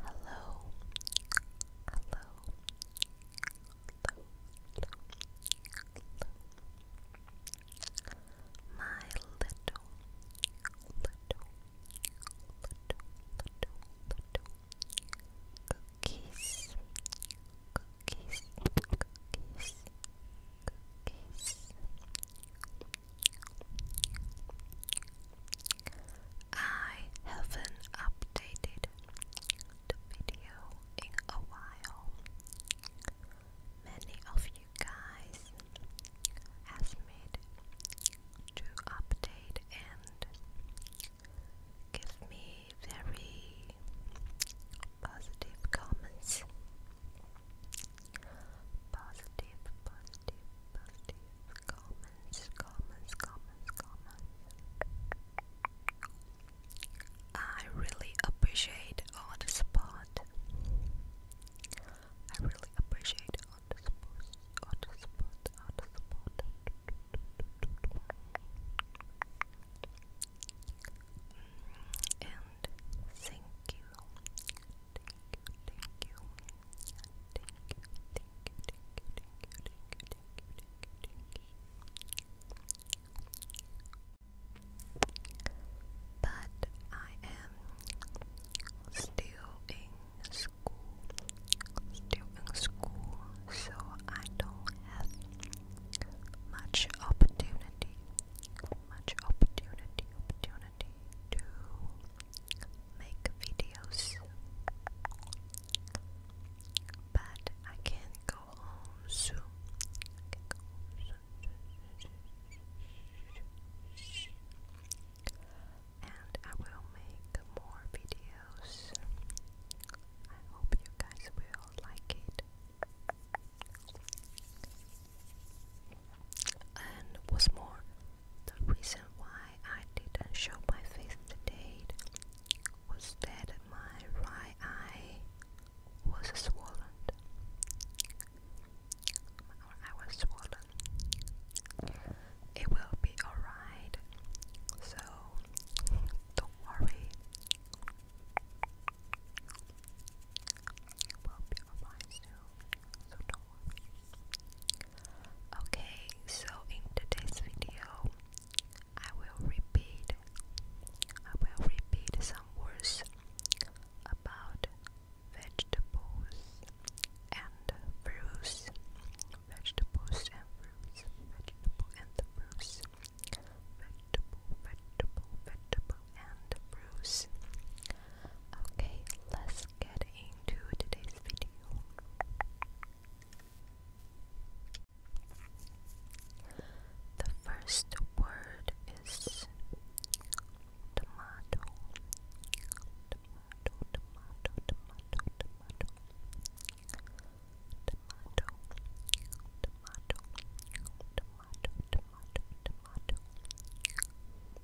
Hello. Hello. Hello. My little, little, little, little cookies, cookies, cookies, cookies. I haven't updated video in a while. Many of you guys asked me to update and give me very positive comments Positive, positive, positive comments, comments, comments, comments. I really appreciate all the support. I really appreciate all the support, all the support, all the support. Mm, and thank you, but I am still in school, still in school, so I don't have much opportunity, much opportunity, opportunity to make videos. But I can go go home soon. And I will make more videos. I hope you guys will like it. And what's more, the reason why I didn't show my face today was that my right eye was swollen. My eye was swollen. It will be alright. So don't worry. It will be alright soon. Okay, so in today's video, I will repeat, I will repeat some words about vegetables and fruits, vegetables and fruits, vegetable and fruits, vegetable, vegetable, vegetable and fruits. Okay, let's let's get into today's video. The first word is tomato. Tomato, tomato, tomato, tomato. Tomato, tomato, tomato, tomato, tomato.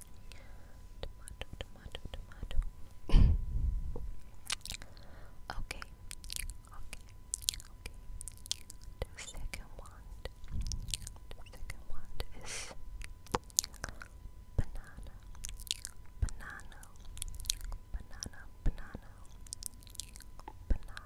Tomato, tomato, okay, okay, okay. The second one, the second one is banana, banana, banana, banana, banana,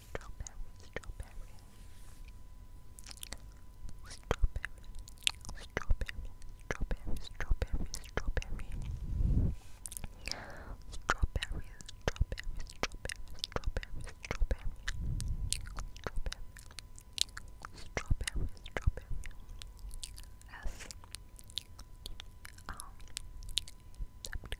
strawberry, strawberry, strawberry, strawberry, strawberry, strawberry, strawberry, strawberry, strawberry, strawberry, strawberry, strawberry, strawberry, S um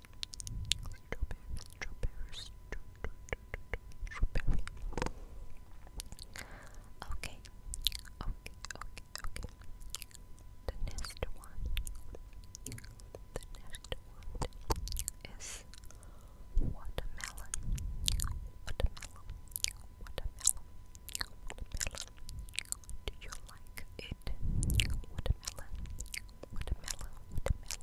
Okay, okay, okay, okay. The next one, the next one is watermelon, watermelon, watermelon. Do you like it? Watermelon, watermelon, watermelon.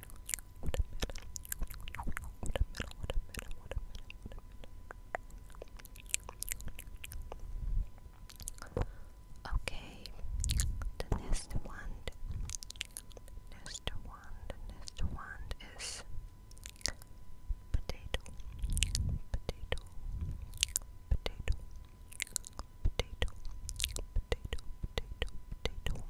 Okay, the next one, next one, next one is potato, potato, potato, potato, potato, potato, potato,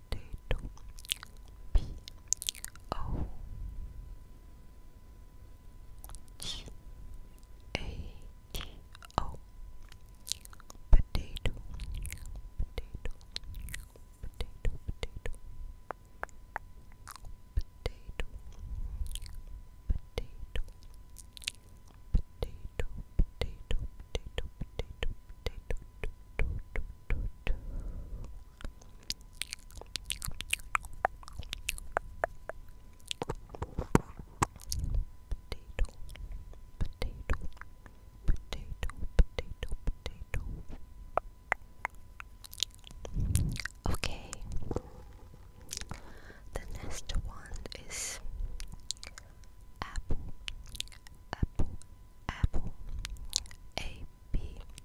potato P O T A T O potato potato potato potato potato potato potato potato potato potato potato, potato, Okay, the next one is apple, apple, apple, A B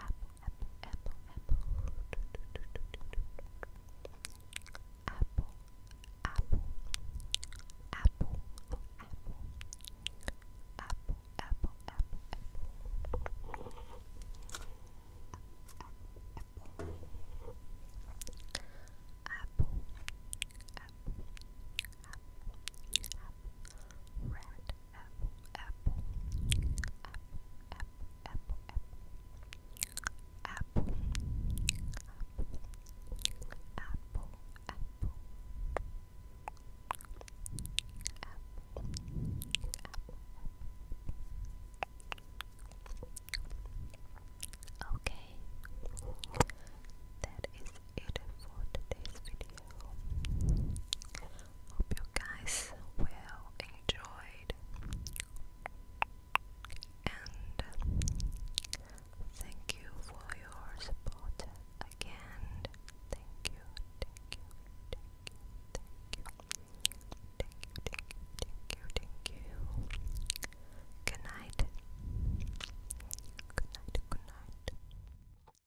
apple, apple, apple, apple, apple, apple, apple, apple, apple, apple, apple, apple. Apple, apple, apple, apple, red, apple, apple, Okay, that is it for today's video. Hope you guys will enjoyed and uh, thank you for your support again. Thank you, thank you, thank you, thank you, thank you, thank you, thank you, Good night. Good night, good night.